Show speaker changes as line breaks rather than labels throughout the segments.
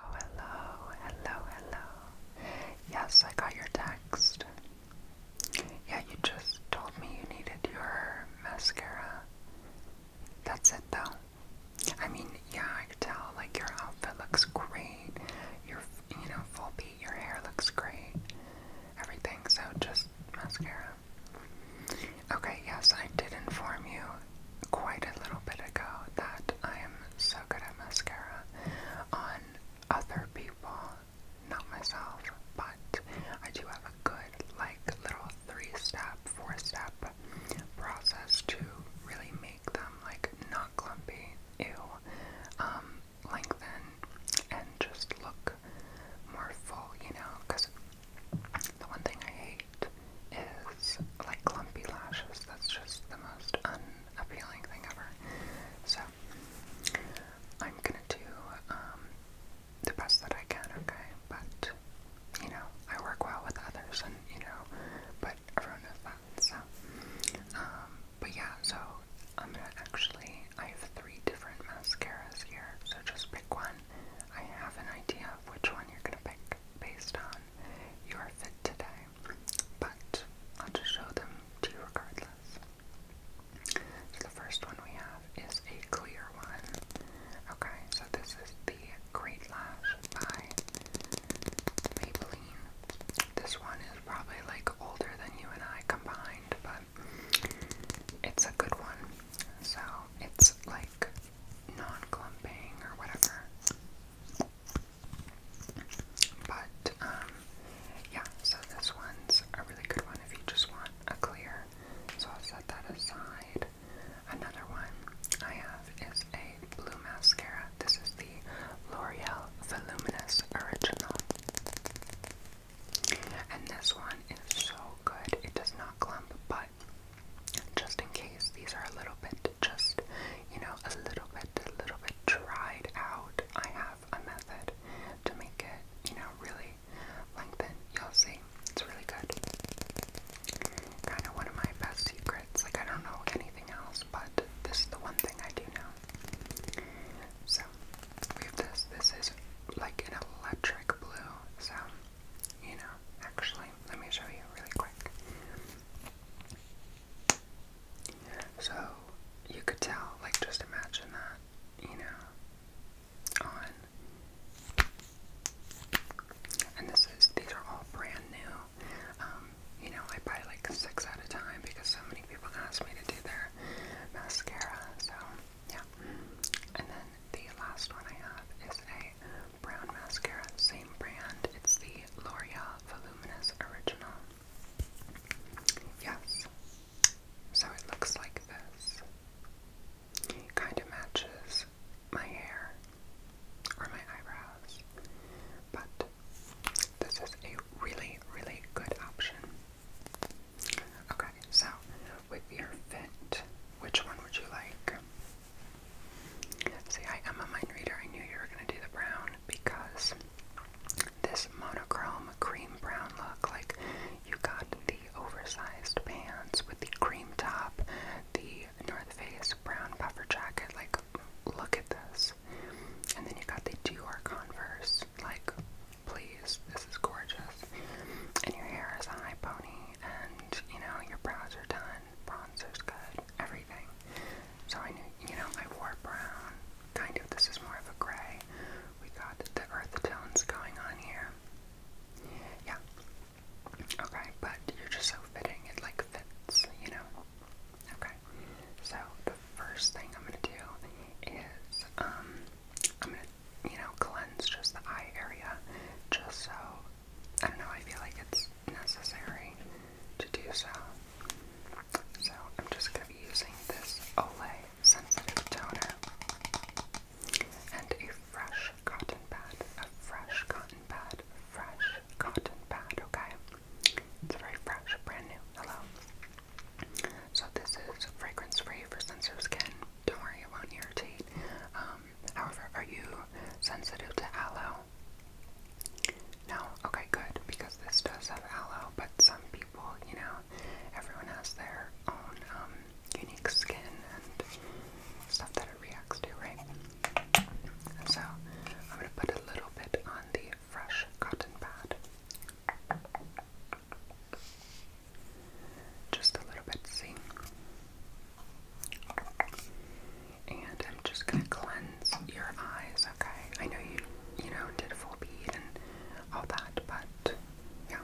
Oh, hello, hello, hello. Yes, I got your text. Yeah, you just told me you needed your mascara. That's it, though. I mean, yeah, I could tell, like, your outfit looks great. Your, you know, full be. your hair looks great. Everything, so just mascara. Okay, yes, I did inform you quite a little bit ago that I am so good at mascara on other people, not myself, but I do have a good, like, little three step, four step process to really make them, like, not clumpy, ew, um, lengthen, and just look more full, you know, because the one thing I hate is like clumpy lashes. That's just the most unappealing thing ever. So I'm gonna do um, the best that I can, okay? But you know, I work well with others, and you know, but everyone knows that. So, um, but yeah, so I'm gonna actually. I have three different mascaras here, so just pick one. I have an idea of which one you're gonna pick based on your fit today but I'll just show them to you regardless. So the first one we have is a clear one. Okay, so this is the Great Lash by Maybelline. This one is probably like older than you and I combined, but it's a good one. So it's like non-clumping or whatever. But um, yeah, so this one's a really good one if you just want a clear. So I'll set that aside. Another one I have is a blue mascara. This is the L'Oreal Voluminous Original. And this one is so good. It does not clump, but just in case these are a little bit just, you know, a little bit, a little bit dried out, I have a method to make it, you know, really lengthen. You'll see. It's really good. Kind of one of my best secrets. Like, I don't know anything else, but this is the one thing I do know. So, we have this. This is like an electric blue. So, you know, actually, let me show you really quick. So you could tell, like, just imagine that, you know, on. And this is, these are all brand new. Um, you know, I buy like six at a time because so many people ask me to do their mascara. So, yeah. And then the last one I have is a brown mascara, same brand. It's the L'Oreal Voluminous Original. Yes. So it looks like this. kind of matches my hair or my eyebrows. But this is a really, really good option. Okay, so with your fit, which one would you like? See, I am a mind reader. I knew you were going to do the brown because this monochrome cream brown look, like you got the oversized pants with the cream top, the North Face brown puffer jacket, like look at this. And then you got the Dior Converse, like please, this is gorgeous. And your hair is a high pony and you know your brows are done bronzer's good, everything. So I knew, you know, I wore brown, kind of, this is more of a gray. We got the earth tones going on here. Yeah. Okay, but you're just so fitting, it like fits, you know? Okay, so the first thing I'm gonna do is, um, I'm gonna, you know, cleanse just the eye area, just so I don't know, I feel like it's necessary to do so. So I'm just going to be using this Olay Sensitive Toner and a fresh cotton pad, a fresh cotton pad, a fresh cotton pad, okay? It's very fresh, brand new, hello. So this is fragrance free for sensitive skin. Don't worry, it won't irritate. Um, however, are you sensitive to aloe? No? Okay, good. Because this does have aloe, but some people, you know, everyone has their own um, unique skin and stuff that it reacts to, right? so I'm going to put a little bit on the fresh cotton pad. Just a little bit, see? And I'm just gonna cleanse your eyes, okay? I know you, you know, did a full bead and all that, but yeah.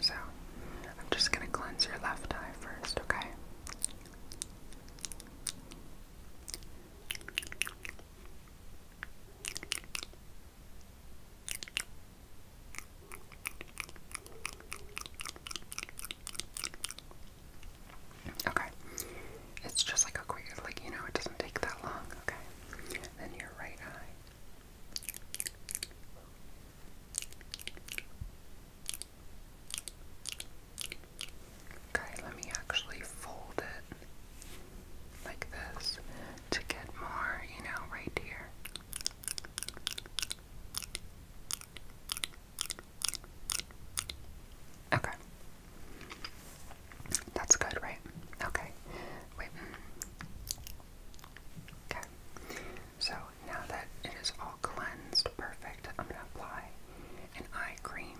So I'm just gonna cleanse your left eye first, okay? Okay. It's just like a quick, like, you know, it doesn't take that long. Okay. Then your right eye. Okay, let me actually fold it like this to get more, you know, right here. Okay. That's good, right? Okay. Wait. Okay. So now that it is all cleansed, perfect, I'm gonna apply an eye cream.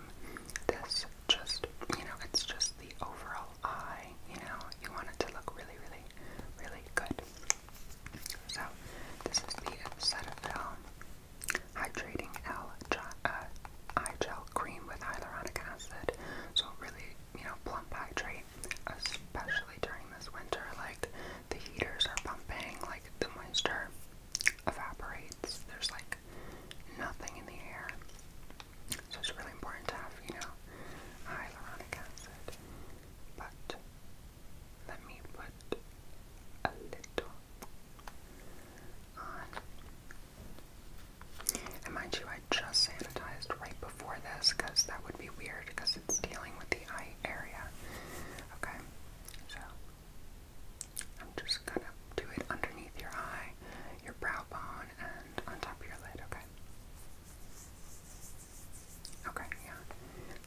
This just, you know, it's just the overall eye, you know, you want it to look really, really, really good. So this is the Cetaphil hydrating L uh, gel cream with hyaluronic acid. So really, you know, plump hydrate, especially during this winter. Like the heaters are pumping, like the moisture evaporates. There's like nothing in the air. So it's really important to have, you know, hyaluronic acid. But let me put a little on. mind you, I just sanitized right before this because that would be weird because it's dealing with the eye area. Okay, so I'm just gonna do it underneath your eye, your brow bone, and on top of your lid, okay? Okay, yeah.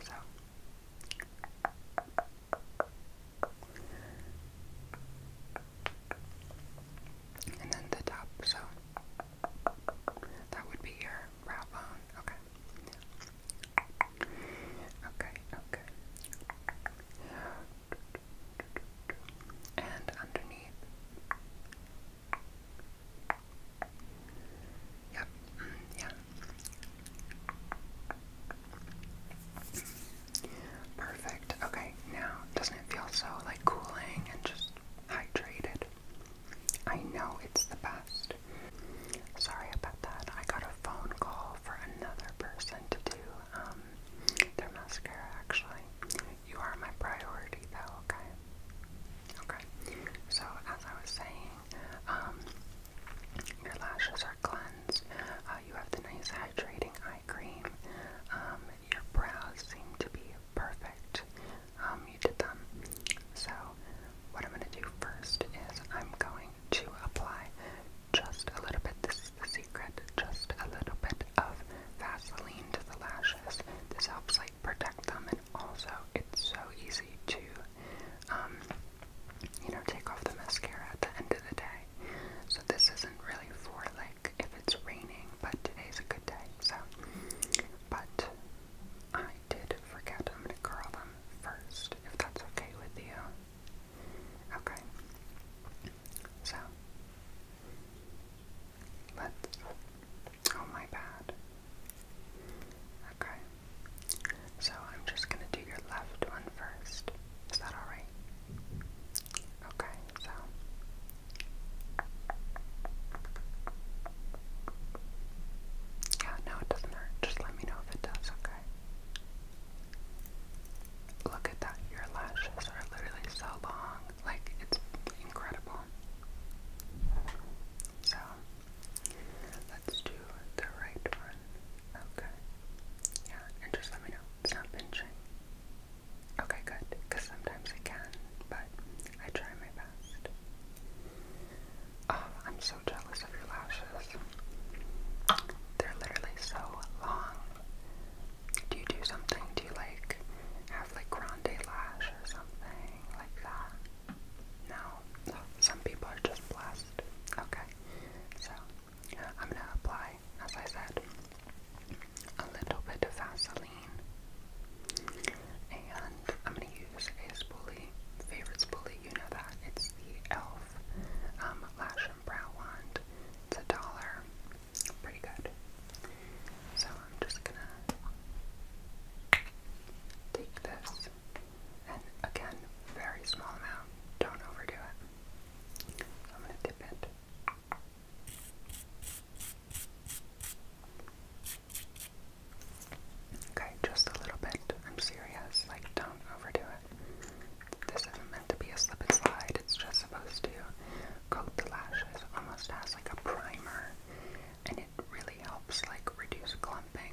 So and then the top, so that would be your brow bone. Okay. Okay, okay. And underneath. Yep, mm, yeah, Perfect. Okay, now doesn't it feel so like cooling and just hydrated? I know it's the best. Sorry about that. I got a phone call for another person to do um, their mascara actually. You are my priority though, okay? Okay. So as I was saying, um, your lashes are uh, you have the nice hydrating eye cream. Um, your brows seem to be perfect. Um, you did them. So, what I'm going to do first is I'm going to apply just a little bit. This is secret. Just a little bit of Vaseline to the lashes. This helps like protect them, and also it's so easy to um, you know, take off the mascara at the end of the day. So this isn't really for like if it's raining, but today's a good day. So, but I did forget. I'm gonna curl them first, if that's okay with you. Okay. So let's. Oh my bad. Okay. So I'm just going to do your left one first. Is that alright? Okay, so. Yeah, no, it doesn't hurt. Just let me know if it does, okay? Look at that. Your lashes are literally so long. Like, it's incredible. So, let's do the right one. Okay. Yeah, and just let me know. It's not pinching. Okay, good. Because sometimes it can, but I try my best. Oh, I'm so jealous of your lashes. They're literally so long. Do you do something? Do you like have like grande lash or something like that? No. Some people are just plastic. Okay, so I'm gonna apply, as I said, a little bit of Vaseline, and I'm gonna use a spoolie, favorite spoolie. You know that it's the Elf um, Lash and Brow Wand. It's a dollar, pretty good. So I'm just gonna take this. And again, very small amount. Don't overdo it. I'm going to dip it. Okay, just a little bit. I'm serious. Like, don't overdo it. This isn't meant to be a slip and slide. It's just supposed to coat the lashes almost as like a primer, and it really helps like reduce clumping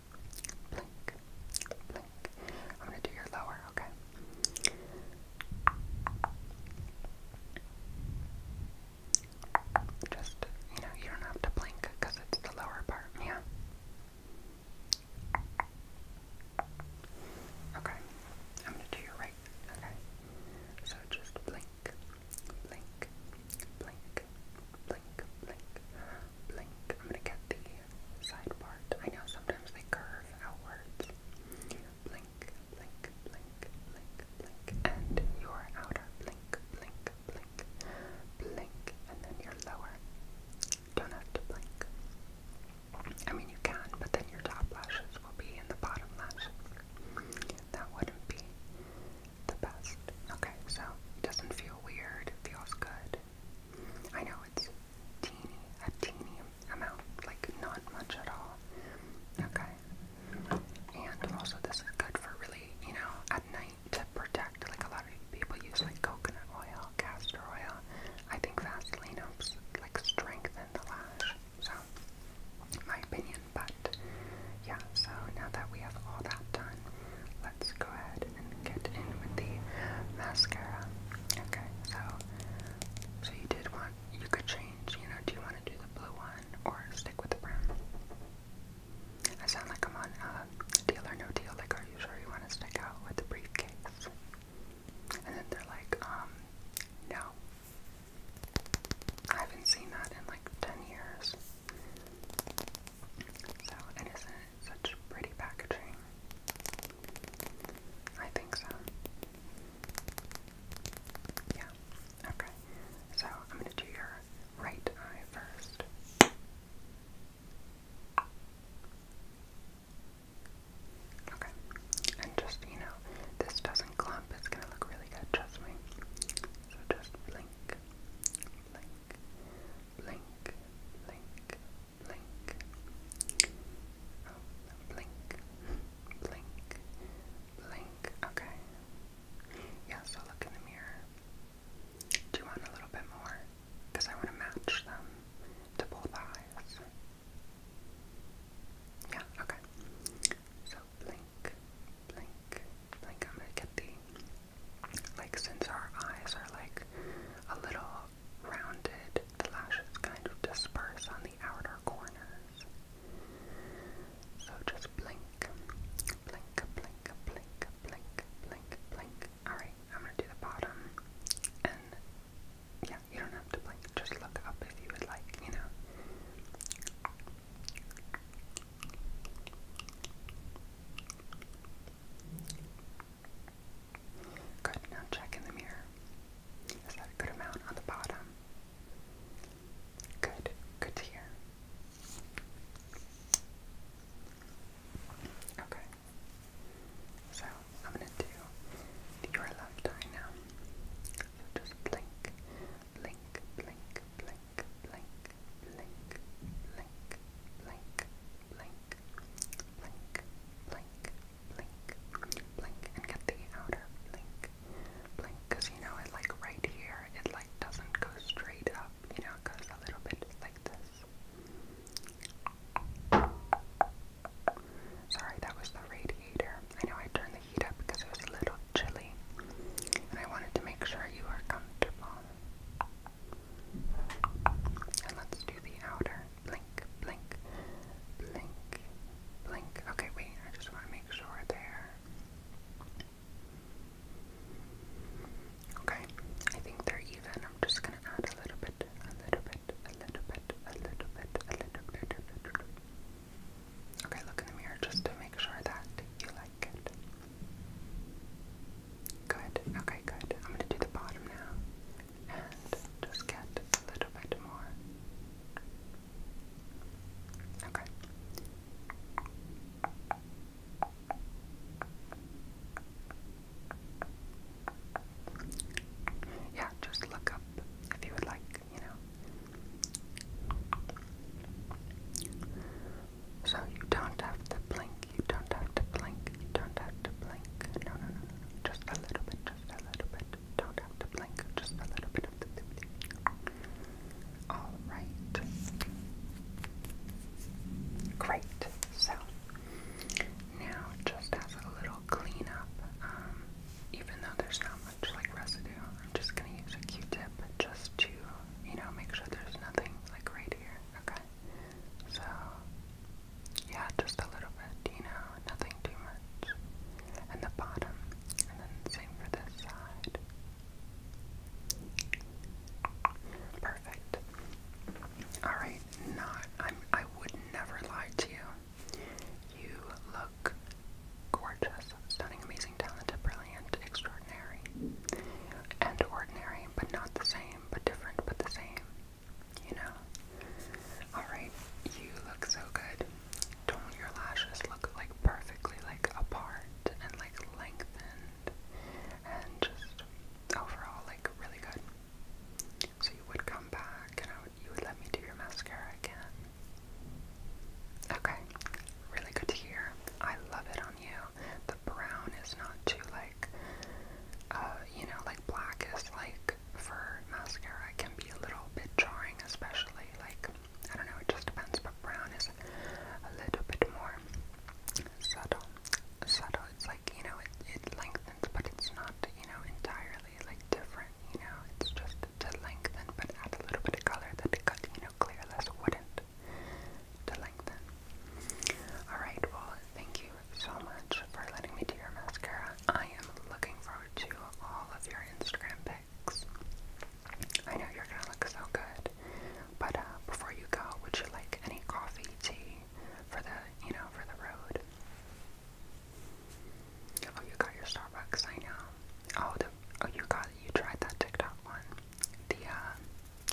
I'm gonna do your lower, okay? Just, you know, you don't have to blink because it's the lower part, yeah? Okay, I'm gonna do your right, okay? So just blink, blink, blink, blink, blink, blink. I'm gonna get the side part. I know sometimes they curve outwards. Blink, blink, blink, blink, blink, and your outer blink, blink, blink, blink, and then your lower. do blink. I mean, you can, but then your top lashes will be in the bottom lash. That wouldn't be the best. Okay, so it doesn't feel weird, it feels good. I know it's teeny, a teeny amount, like not much at all. Okay. And also this is good for really, you know, at night to protect. Like a lot of people use like coconut oil, castor oil. I think Vaseline helps like strengthen the lash. So my opinion, but yeah, so now that we have all that done, let's go ahead and get in with the mascara. Okay, so so you did want you could change, you know, do you want to do the blue one or stick with the brown? I sound like I'm on uh, deal or no deal, like are you sure you want to stick out with the briefcase? And then they're like, um, no. I haven't seen that in like 10 years. So, and such pretty packaging? I think so. Yeah, okay. So, I'm going to do your right eye first. Okay, and just, you know, this doesn't clump, it's gonna look really good, trust me. So just blink, blink, blink, blink, blink. Oh, blink, blink, blink. Okay. Yeah, so look in the mirror. Do you want a little bit more? Because I want to match them to both eyes. Yeah, okay. So blink, blink, blink. I'm going to get the like since our eyes are like a little rounded, the lashes kind of disperse on the outer corners. So just blink, blink, blink, blink, blink, blink, blink. Alright, I'm gonna do the bottom. And yeah, you don't have to blink, just look up if you would like, you know. Good, now check in the mirror. Is that a good amount on the bottom? Good, good to hear. Okay. So I'm gonna do your left eye now. just blink, blink, blink, blink, blink, blink, blink, blink, blink, blink, blink, blink, blink, and get the outer blink, blink, because you know it like right here, it like doesn't go straight up, you know, it goes a little bit like this. Sorry, that was the radiator. I know I turned the heat up because it was a little chilly, and I wanted to make sure you were comfortable. And let's do the outer. Blink, blink, blink, blink. Okay, wait, I just want to make sure there. Okay, I think they're even. I'm just gonna add a little bit, a little bit, a little bit, a little bit, a little bit. A little bit. Okay, look in the mirror just to make sure that you like it. Good, okay, good. I'm gonna do the bottom now and just get a little bit more. Okay. Yeah, just look up if you would like, you know. So you don't have to blink, you don't have to blink, you don't have to blink. No, no, no, no, just a little bit, just a little bit. Don't have to blink, just a little bit of the Alright. Great. So, now just as a little cleanup, um, even though there's not much like residue, I'm just going to use a q-tip just to you know, make sure there's nothing like right here. Okay. So yeah, just a little bit, you know, nothing too much. And the bottom. And then same for this side. Perfect. Alright, not i I would never lie to you. You look gorgeous, stunning, amazing amazing, talented, brilliant, extraordinary, and ordinary, but not the same, but different, but the same. You know? Alright, you look so good. Don't your lashes look like perfectly like apart and like lengthened and just overall like really good? So you would come back and you would let me do your mascara again. Okay, really good to hear. I love it on you. The brown is not too like, uh, you know, like black is like for mascara it can be a little bit jarring, especially like I don't know. It just depends, but brown is a little bit more subtle. Subtle. It's like you know, it it lengthens, but it's not you know entirely like different. You know, it's just to lengthen, but add a little bit of color that you know, clearless wouldn't to lengthen. Alright, well, thank you so much for letting me do your mascara. I am looking forward to all of your Instagram pics. I know you're gonna look so good. But uh, before you go, would you like any coffee, tea for the, you know, for the road? Oh, you got your Starbucks, I know. Oh, the, oh, you got, you tried that TikTok one the uh,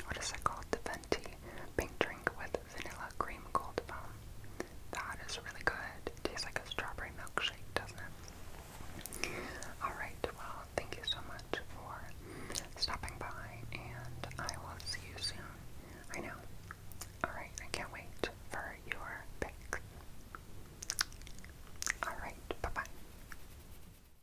what is it called? The Venti pink drink with vanilla cream cold foam. That is really good. tastes like a strawberry milkshake, doesn't it? Alright, well, thank you so much for stopping by, and I will see you soon. I know. Alright, I can't wait for your pick. Alright, bye bye.